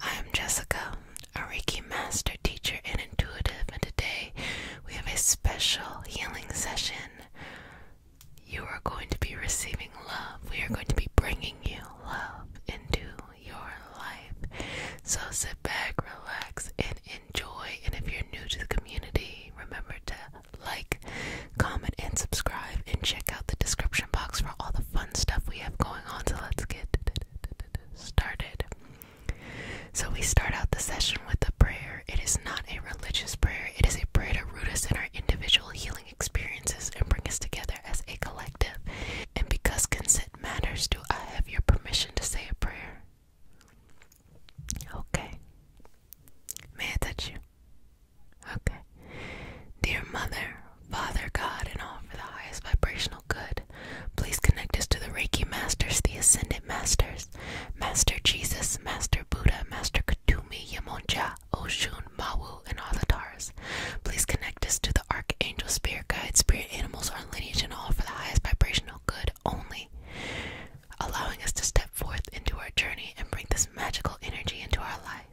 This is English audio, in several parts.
I am Jessica, a Reiki master teacher and intuitive, and today we have a special healing session. You are going to be receiving love. We are going to be bringing you love into your life. So sit back, relax, and enjoy. And if you're new to the community, remember to like, comment, and subscribe, and check out the description box for all the fun stuff we have going on. So let's get started. So we start out the session with a prayer. It is not a religious prayer, it is a prayer to root us in our individual healing experiences and bring us together as a collective. And because consent matters, do I have your permission to say a prayer? Okay. May I touch you? Okay. Dear Mother, Father God, and all for the highest vibrational good, please connect us to the Reiki Masters, the Ascended Masters, Master Jesus, Master Buddha, Master Katumi, Yamonja, Oshun, Mawu, and all the Tars. Please connect us to the Archangel, Spirit Guide, Spirit Animals, our lineage, and all for the highest vibrational good only, allowing us to step forth into our journey and bring this magical energy into our lives.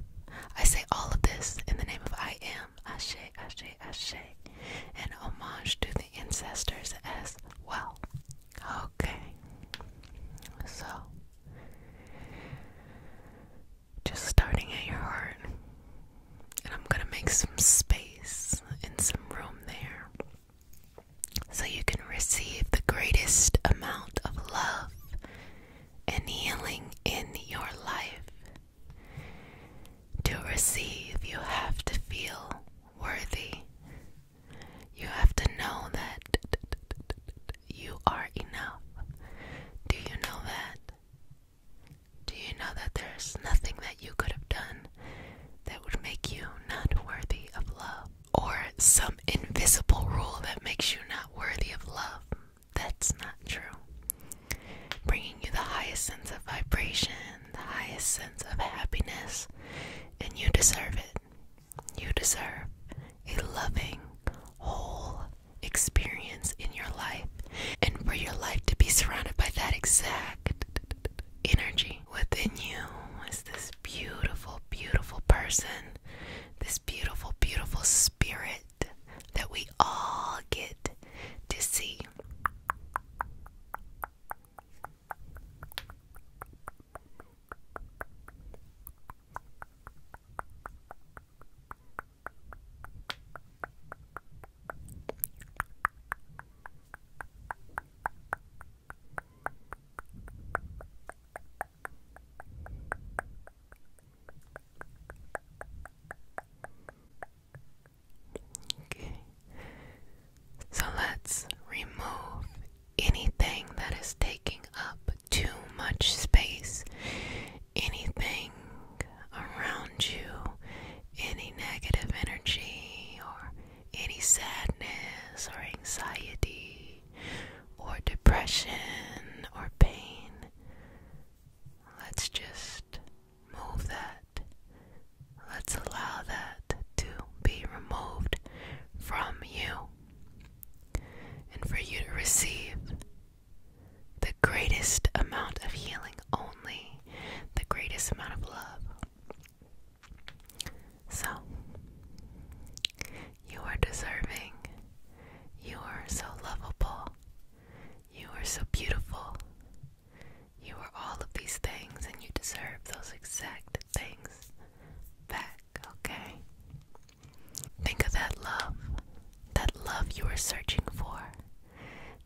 I. say all of this in the name of I am, Ashe, Ashe, Ashe, and homage to the ancestors as well. Okay, so just starting at your heart, and I'm gonna make some space and some room there so you can receive the greatest amount of love and healing in your life. To receive, you have to feel worthy. You have to know that you are enough. Do you know that? Do you know that there's nothing that you could have done that would make you not worthy of love? Or some invisible rule that makes you not worthy of love? that's not true. Bringing you the highest sense of vibration, the highest sense of happiness, and you deserve it. You deserve a loving, whole experience in your life, and for your life to be surrounded by that exact energy within you is this beautiful, beautiful person, this beautiful, beautiful spirit that we all get to see. Okay. So let's remove anything that is taking up too much space, anything around you, any negative energy, or any sadness or anxiety or depression or pain. Let's just move that. Let's allow that to be removed from you and for you to receive the greatest amount of healing only, the greatest amount of love. So, you are deserving. You are so lovable. You are so beautiful. You are all of these things, and you deserve those exact things back, okay? Think of that love, that love you are searching for,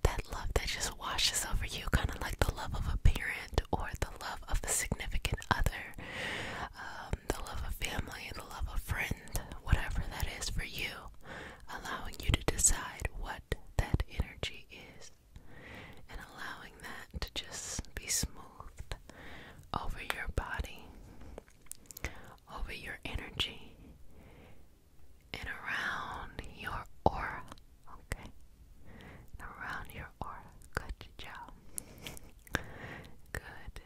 that love that just washes over you, kind of like the love of a parent or the love of a significant other, um, um, the love of family, the love of friends, whatever that is for you, allowing you to decide what that energy is and allowing that to just be smoothed over your body, over your energy, and around your aura. Okay? And around your aura. Good job. Good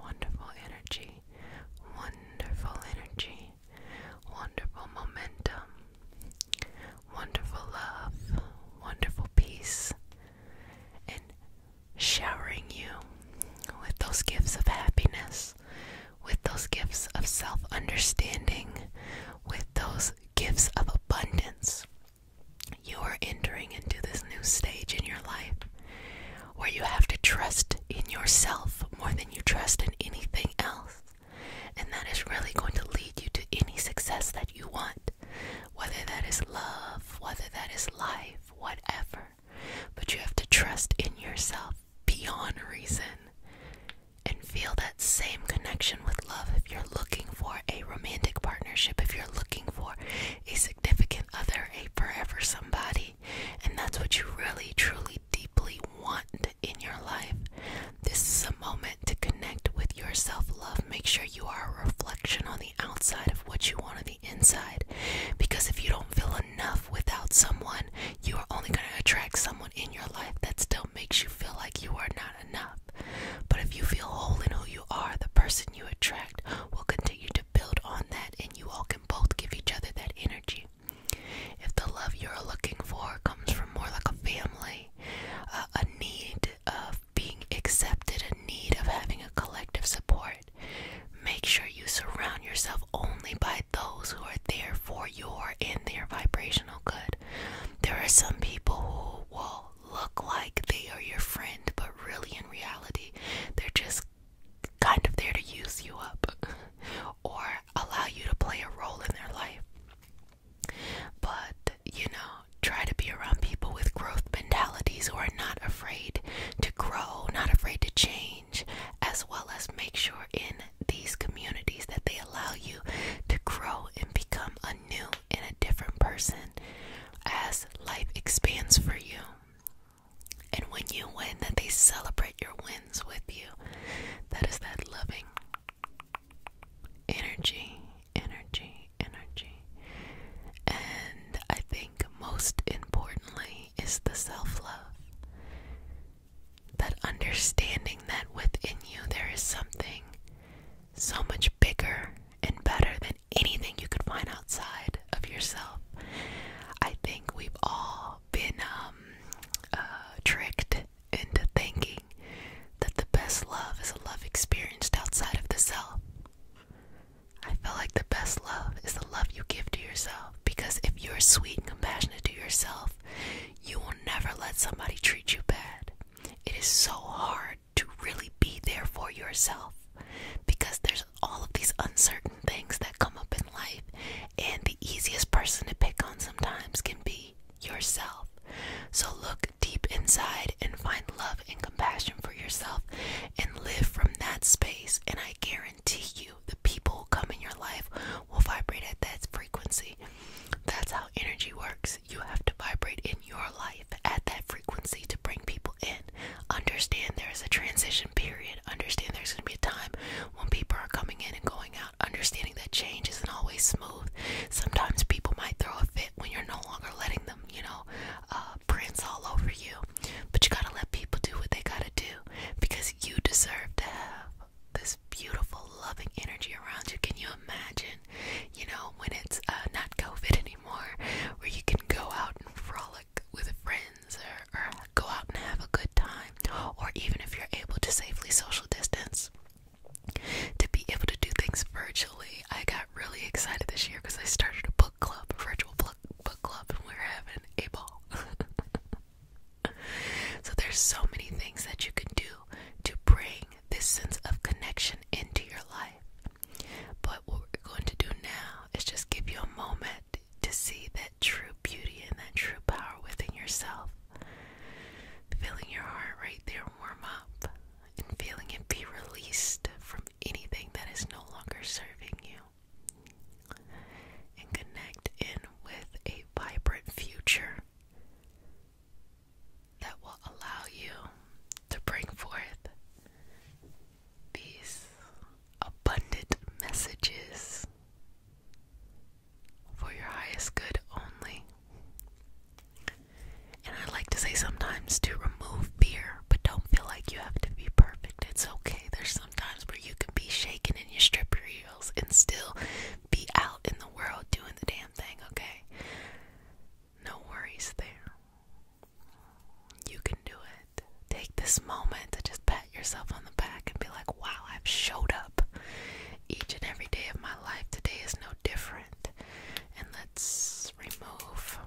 wonderful energy, wonderful energy, wonderful momentum, wonderful love, wonderful peace, and showering you with those gifts of happiness, with those gifts of self understanding, with those gifts of abundance. You are entering into this new stage in your life where you have to trust in yourself more than you trust in anything else. And that is really going to lead you to any success that you want, whether that is love, whether that is life, whatever. But you have to trust in yourself beyond reason and feel that same connection with love if you're looking for a romantic partnership, if you're looking for a significant other, a forever somebody and that's what you really truly deeply want in your life this is a moment to connect with your self-love make sure you are a reflection on the outside of what you want on the inside because if you don't feel enough without someone you are only going to attract someone in your life that still makes you feel like you are not enough but if you feel whole in who you are the person you attract will continue to build on that and you will both give each other that energy. If the love you're looking for comes from more like a family, a need of being accepted, a need of having a collective support, make sure you surround yourself only by those who are there for you and their vibrational good. There are some people who will look like they are your friend, but really in reality, they're just kind of there to use you up or allow you to play a role in their life. But, you know, try to be around people with growth mentalities who are not afraid to grow, not afraid to change, as well as make sure in these communities that they allow you to grow and become a new and a different person as life expands for you. And when you win, that they celebrate your wins with you. That is that loving energy, energy, energy. And I think most importantly is the self love. That understanding that within you there is something so much bigger and better than anything you could find outside of yourself. I think we've all been um, uh, tricked into thinking that the best love is a love experienced outside of the self. I feel like the best love is the love you give to yourself because if you're sweet and compassionate to yourself, you will never let somebody treat you bad. It is so hard to really be there for yourself because there's all of these uncertain things that come up in life, and the easiest person to pick on sometimes can be yourself. So look deep inside and find love and compassion for yourself and live from that space. And I guarantee you, the people who come in your life will vibrate at that frequency. That's how energy works. You have to vibrate in your life at that frequency frequency to bring people in. Understand there is a transition period. Understand there's going to be a time when people are coming in and going out. Understanding that change isn't always smooth. Sometimes people might throw a fit when you're no longer letting them, you know, uh, prints all over you. But you gotta let people do what they gotta do because you deserve to have this beautiful, loving energy around you. Can you imagine, you know, when it's uh, not COVID anymore, where you can go out and frolic? with friends or, go out and have a good time, or even if you're able to safely social distance, to be able to do things virtually. I got really excited this year because I started a book club, virtual book book club, and we're having a ball. so there's so many things that you can do to bring this sense of connection into your life. But what we're going to do now is just give you a moment to see that true beauty and that true power within yourself. Feeling your heart right there warm up and feeling it be released from anything that is no longer serving you. And connect in with a vibrant future that will allow you to bring forth these abundant messages for your highest good only. And I like to say sometimes to remove fear, but don't feel like you have to be perfect. It's okay. There's sometimes where you can be shaking shaken in your stripper heels and still be out in the world doing the damn thing, okay? No worries there. You can do it. Take this moment to just pat yourself on the back and be like, wow, I've showed up. Each and every day of my life today is no different. And let's remove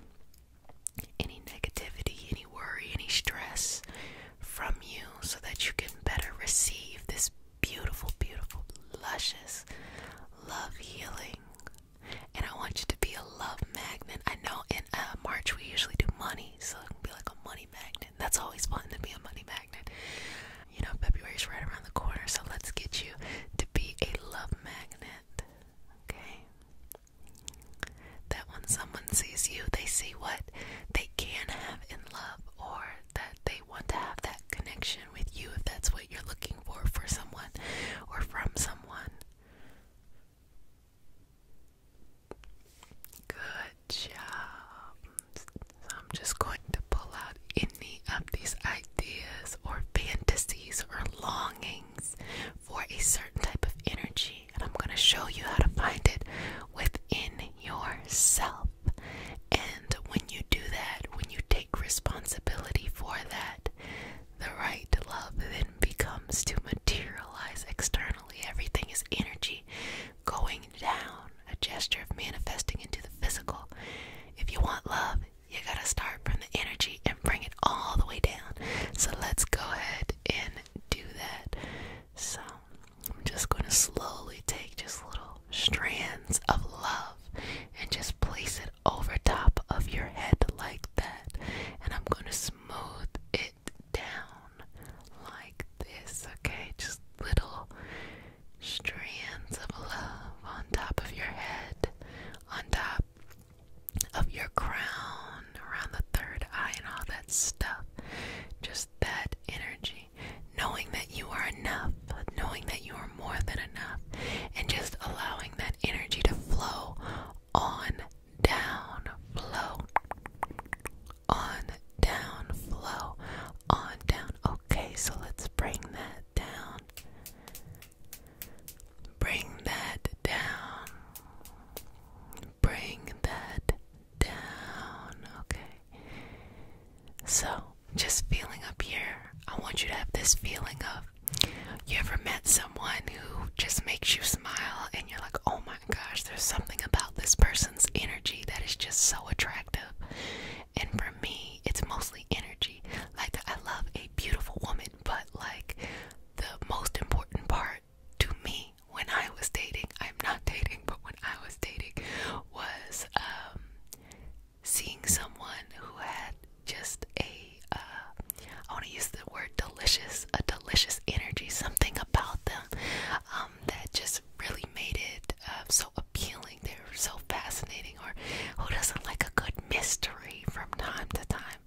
any negativity, any worry, any stress from you so that you can better receive this beautiful, beautiful, luscious, love healing, and I want you to be a love magnet. I know in uh, March we usually do money, so it can be like a money magnet. That's always fun to be a money magnet. You know, February is right around the corner, so let's get you to be a love magnet. Okay? That when someone sees you, they see what they can have in love or that they want to have that connection with you if that's what you're looking for for someone or from someone. Good job. I'm just going to pull out any of these ideas or fantasies or longings for a certain type of energy, and I'm going to show you how to find it within yourself. And when you do that, when you take responsibility for that, the right to love then becomes to materialize externally. Everything is energy going down, a gesture of manifesting into the physical. If you want love, you gotta start from the energy and bring it all the way down. So let's go ahead and do that. So I'm just gonna slowly take just little strands of love and just place it over top of your head like that, and I'm going to smooth it down like this, okay? Just little strands of love on top of your head, on top of your crown, around the third eye, and all that stuff. Just that energy. Knowing that you are enough, knowing that you are more than and just allowing that energy to flow on down flow on down flow on down okay so let's bring that down bring that down bring that down okay so just feeling up here i want you to have this feeling of you ever met someone who just makes you smile and you're like, oh my gosh, there's something about this person's energy that is just so attractive? And for me, it's mostly energy. Like, I love a beautiful woman, but like, the most important part to me when I was dating, I'm not dating, but when I was dating, was um, seeing someone who had just a uh, I want to use the word delicious, a delicious energy, something about them um, that just really made it uh, so appealing. They are so fascinating. Or who doesn't like a good mystery from time to time?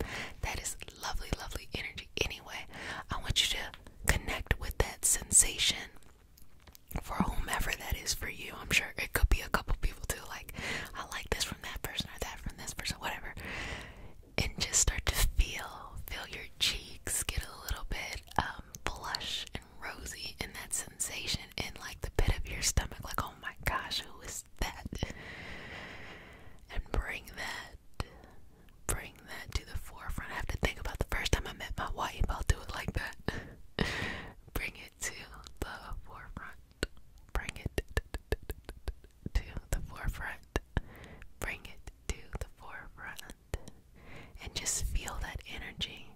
That is lovely, lovely energy. Anyway, I want you to connect with that sensation for whomever that is for you. I'm sure it could be a couple people too. like. I like this from that person or that from this person, whatever. And just start to feel, feel your cheeks get a little bit um blush and rosy and that sensation in like the pit of your stomach, like oh my gosh, who is that? And bring that bring that to the forefront. I have to think about the first time I met my wife, I'll do it like that. bring it to the forefront. Bring it to the forefront. Bring it to the forefront. And just feel that energy.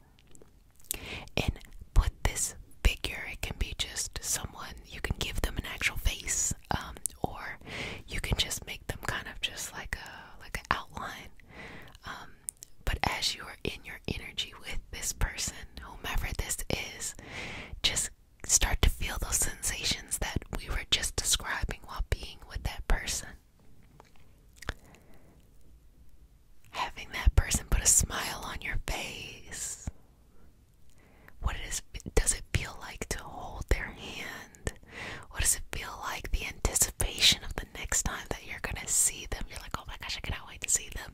And put this figure, it can be just someone, you can give them an actual face, um, or you can just make them kind of just like a like an outline. Um, but as you are in your energy with this person, whomever this is, just start to feel those sensations that we were just describing while being with that person. Having that person put a smile on your face. What it is, does it feel like to hold their hand? What does it feel like the anticipation of the next time that you're gonna see them? You're like, oh my gosh, I cannot wait to see them.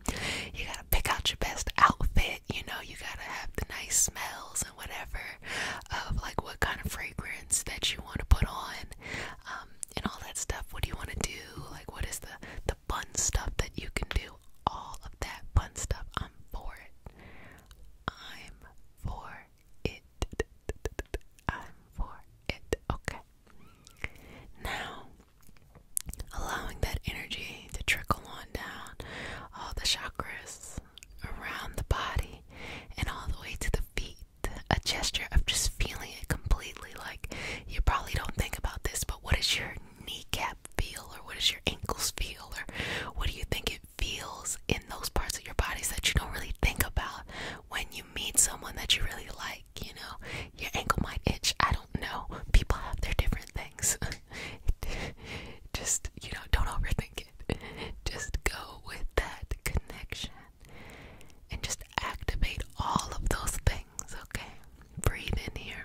You gotta pick out your best outfit, you know, you gotta have the nice smells and whatever of like what kind of fragrance that you want to put on, um, and all that stuff. What do you want to do? Like, what is the the fun stuff that you can do? All of that fun stuff. I'm for it. I'm for it. I'm for it. Okay. Now, allowing that energy to trickle on down all the chakras around the body and all the way to the feet. A gesture of just feeling it completely. Like you probably don't think about this, but what does your kneecap feel, or what does your ankles feel, or what do you think it feels in those parts of your bodies that you don't really think about when you meet someone that you really like? you know, your ankle might itch. I don't know. People have their different things. Just, you know, don't overthink it. Just go with that connection and just activate all of those things, okay? Breathe in here.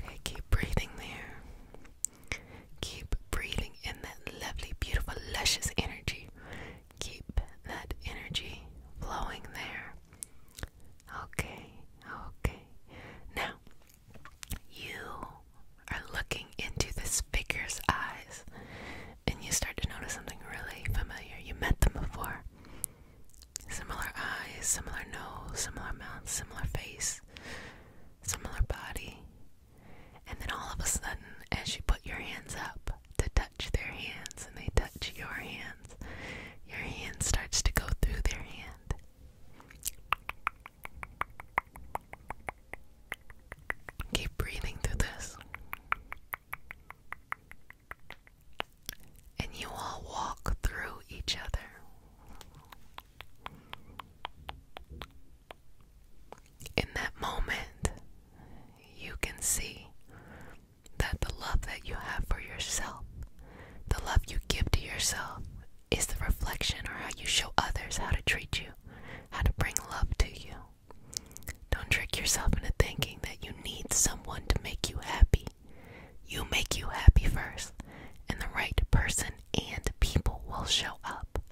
Okay, keep breathing there. Keep breathing in that lovely, beautiful, luscious energy. Keep that energy flowing there. Okay, okay. Now, you are looking into this figure's eyes and you start to notice something really familiar. You met them before. Similar eyes, similar nose, similar mouth, similar face, similar body, and then all of a sudden, as you put your hands up to touch their hands and they touch your hands, your hand starts to go through their hand. Keep breathing through this. And you all walk through each other. In that moment, you can see that the love that you have for yourself, the love you give to yourself, is the reflection or how you show others how to treat you, how to bring love to you. Don't trick yourself into thinking that you need someone to make you happy. You make you happy first, and the right person and people will show up up.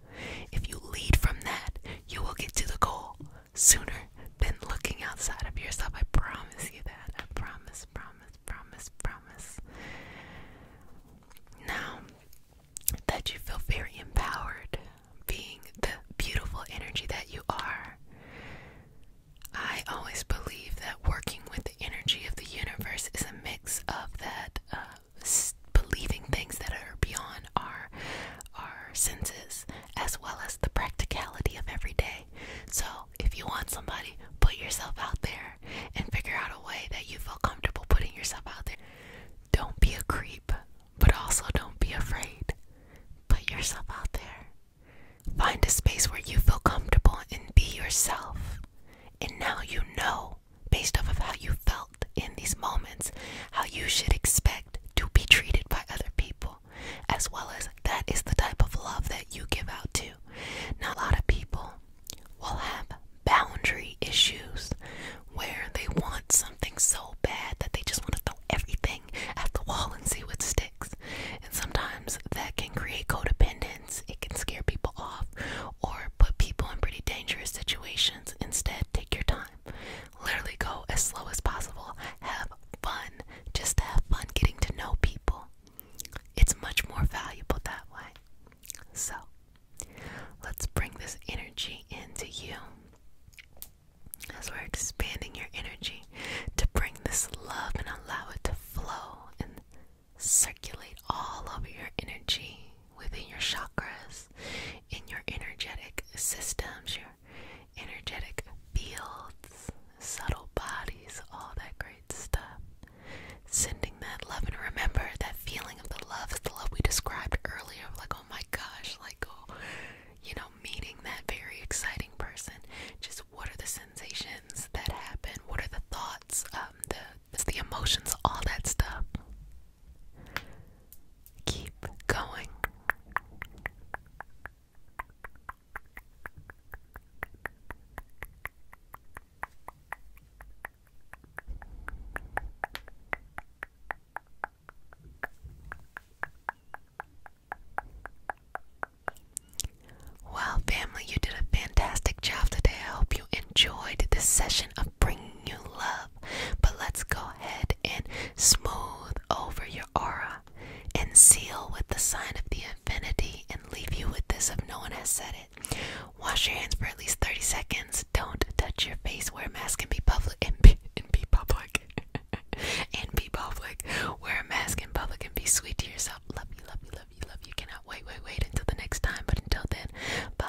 If you lead from that, you will get to the goal sooner than looking outside of yourself. I promise you that. I promise, promise, promise, promise. Now that you feel very empowered, being the beautiful energy that you are, I always believe that working with the energy of the universe is a mix of that uh, believing things that are beyond our our senses as well as the practicality of every day. So, if you want somebody, put yourself out there and figure out a way that you feel comfortable putting yourself out there. Don't be a creep, but also don't be afraid. Put yourself out there. Find a space where you feel comfortable and be yourself. And now you know based off of how you felt in these moments, how you should expect to be treated by other people, as well as that is the type of love that you give out to. Now, a lot of people will have boundary issues where they want something so bad that they just want to throw everything at the wall and see what sticks. And sometimes that can create codependent it can scare people off or put people in pretty dangerous situations. Instead, take your time. Literally go as slow as possible. Have fun. Just have fun getting to know people. It's much more valuable that way. So, let's bring this energy into you. As we're expanding your energy to bring this love and allow it to flow circulate all of your energy within your chakras, in your energetic systems, your energetic fields, subtle bodies, all that great stuff. Sending that love, and remember that feeling of the love is the love we described earlier like, oh my gosh, like, oh, you know, meeting that very exciting person. Just what are the sensations that happen? What are the thoughts? thoughts, um, the the emotions, all that stuff. Keep going. Well, family, you did a fantastic job today. I hope you enjoyed this session of bringing you love. But let's go ahead and smooth over your aura and seal with the sign of the infinity and leave you with this if no one has said it. Wash your hands for at least 30 seconds. Don't touch your face. Wear a mask and be public. And be, and be public. and be public. Wear a mask in public and be sweet to yourself. Love you, love you, love you love love you. Cannot wait, wait, wait until the next time. But until then, bye.